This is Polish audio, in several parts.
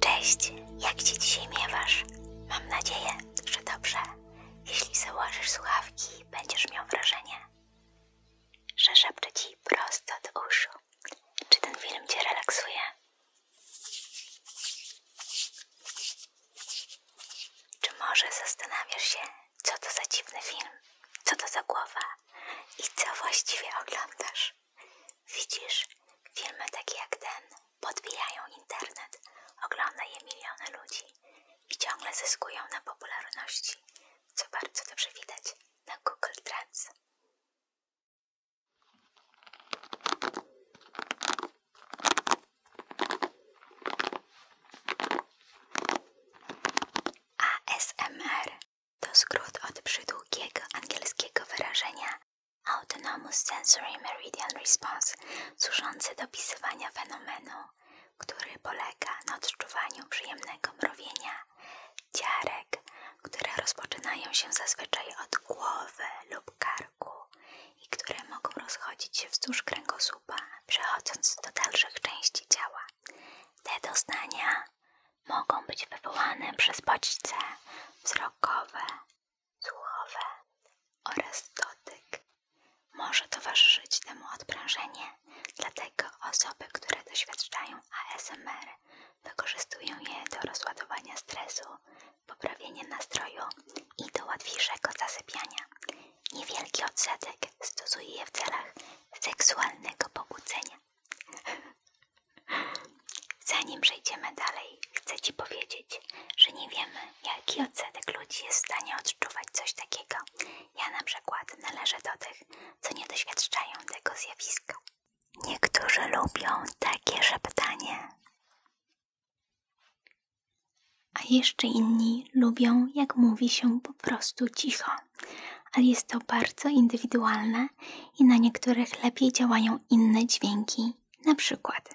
Cześć, jak się dzisiaj miewasz? Mam nadzieję, że dobrze. Jeśli założysz słuchawki, będziesz miał wrażenie, że szepczę Ci prosto do uszu. Czy ten film Cię relaksuje? Czy może zastanawiasz się, co to za dziwny film, co to za głowa i co właściwie oglądasz? Widzisz, filmy takie jak ten podbijają internet, ogląda je miliony ludzi i ciągle zyskują na popularności co bardzo dobrze widać na Google Trends. ASMR to skrót od przydługiego angielskiego wyrażenia Autonomous Sensory Meridian Response służący do opisywania fenomenu który polega na odczuwaniu przyjemnego mrowienia dziarek, które rozpoczynają się zazwyczaj od głowy lub karku i które mogą rozchodzić się wzdłuż kręgosłupa, przechodząc do dalszych części ciała. Te doznania mogą być wywołane przez bodźce wzrokowe, słuchowe oraz dotyk. Może towarzyszyć temu odprężenie, dlatego osoby, które doświadczają ASMR, wykorzystują je do rozładowania stresu, poprawienia nastroju i do łatwiejszego zasypiania. Niewielki odsetek stosuje je w celach seksualnego pobudzenia. Zanim przejdziemy dalej, chcę Ci powiedzieć, że nie wiemy, jaki odsetek ludzi jest w stanie czuwać coś takiego. Ja na przykład należę do tych, co nie doświadczają tego zjawiska. Niektórzy lubią takie szeptanie. A jeszcze inni lubią, jak mówi się po prostu cicho, ale jest to bardzo indywidualne i na niektórych lepiej działają inne dźwięki, na przykład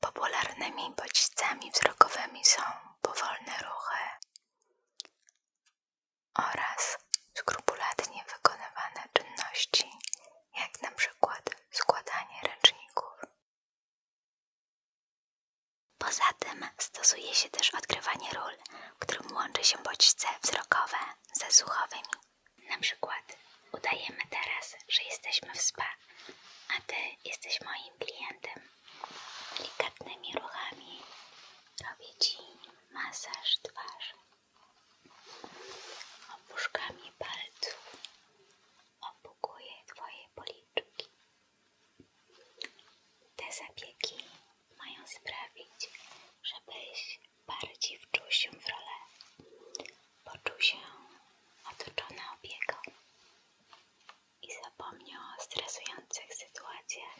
Popularnymi bodźcami wzrokowymi są powolne ruchy oraz skrupulatnie wykonywane czynności, jak na przykład składanie ręczników. Poza tym stosuje się też odgrywanie ról, w którym łączy się bodźce wzrokowe ze słuchowymi. Na przykład udajemy teraz, że jesteśmy w spa, a Ty jesteś moim klientem delikatnymi ruchami robię Ci masaż twarzy opuszkami palców opukuję Twoje policzki te zabiegi mają sprawić, żebyś bardziej wczuł się w rolę poczuł się otoczona opieką i zapomniał o stresujących sytuacjach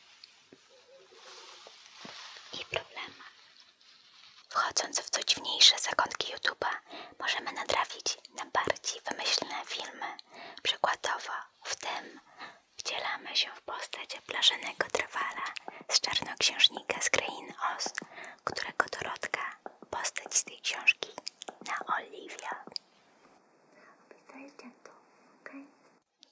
i problemach. Wchodząc w co dziwniejsze zakątki YouTube'a, możemy natrafić na bardziej wymyślne filmy. Przykładowo w tym wcielamy się w postać blaszanego trwala z czarnoksiężnika z krain Oz, którego Dorotka, postać z tej książki, na Oliwia.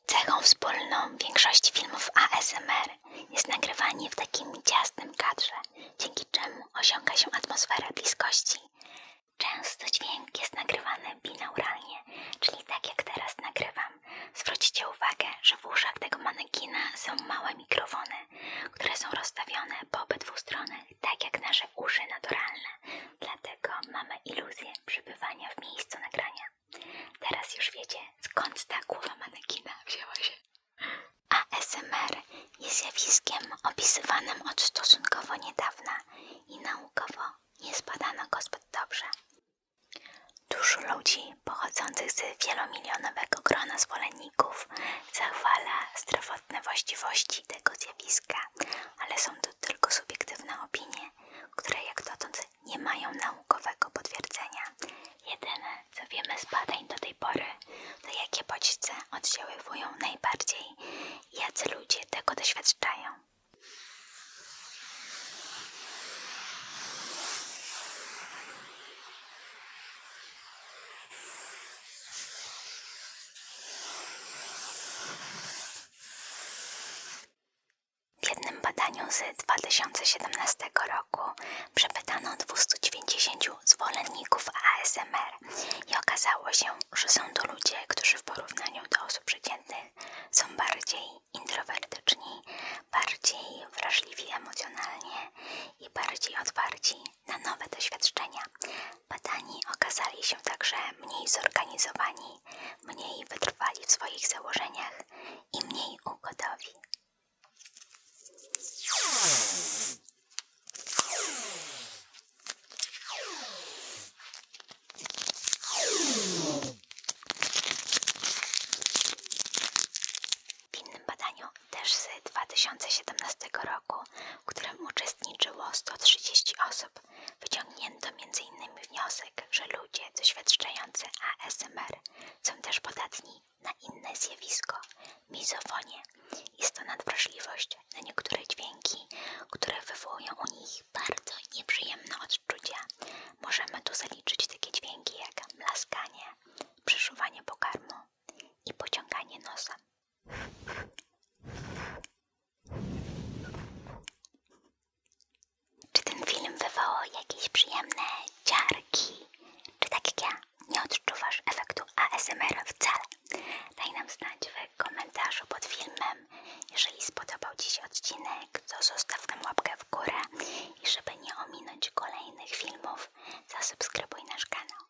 Cechą wspólną większości filmów ASMR jest nagrywanie w takim ciasnym kadrze, dzięki czemu osiąga się atmosfera bliskości. Często dźwięk jest nagrywany binauralnie, czyli tak jak teraz nagrywam. Zwróćcie uwagę, że w uszach tego manekina są małe mikrofony, które są rozstawione po obydwu stronach tak jak nasze uszy naturalne, dlatego mamy iluzję przebywania w miejscu nagrania. Teraz już wiecie, skąd ta głowa manekina wzięła się. ASMR jest zjawiskiem opisywanym od stosunkowo niedawna i naukowo nie zbadano go zbyt dobrze. Dużo ludzi pochodzących z wielomilionowego grona zwolenników zachwala zdrowotne właściwości tego zjawiska ale są to tylko subiektywne opinie, które jak dotąd nie mają naukowego potwierdzenia. Jedyne, co wiemy z badań do tej pory, to jakie bodźce oddziaływują najbardziej i jacy ludzie tego doświadczają. W jednym badaniu z 2017 roku przepytano 290 zwolenników ASMR i okazało się, że są to ludzie, którzy w porównaniu do osób przeciętnych są bardziej introwertyczni, bardziej wrażliwi emocjonalnie i bardziej otwarci na nowe doświadczenia, Badani okazali się także mniej zorganizowani, mniej wytrwali w swoich założeniach i mniej ugodowi. W innym badaniu, też z 2017 roku, w którym uczestniczyło 130 osób, wyciągnięto m.in. wniosek, że ludzie doświadczający ASMR są też podatni na inne zjawisko, mizofonię i to nadwrażliwość na niektóre dźwięki, które wywołują u nich bardzo nieprzyjemne odczucia. Możemy tu zaliczyć takie dźwięki jak mlaskanie, przeszuwanie pokarmu i pociąganie nosa. Czy ten film wywołał jakieś przyjemne ciarki? Czy tak jak ja nie odczuwasz efektu ASMR wcale? Daj nam znać w komentarzu pod filmem. Jeżeli spodobał Ci się odcinek, to zostaw nam łapkę w górę i żeby nie ominąć kolejnych filmów, zasubskrybuj nasz kanał.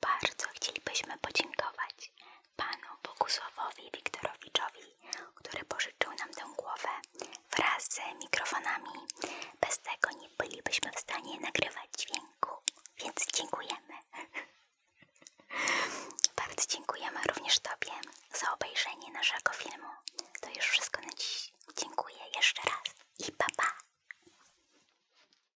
Bardzo chcielibyśmy podziękować panu Bogusławowi Wiktorowiczowi, który pożyczył nam tę głowę wraz z mikrofonami. Bez tego nie bylibyśmy w stanie nagrywać dźwięku, więc dziękujemy. Bardzo dziękujemy również Tobie za obejrzenie naszego filmu. To już wszystko na dziś. Dziękuję jeszcze raz i pa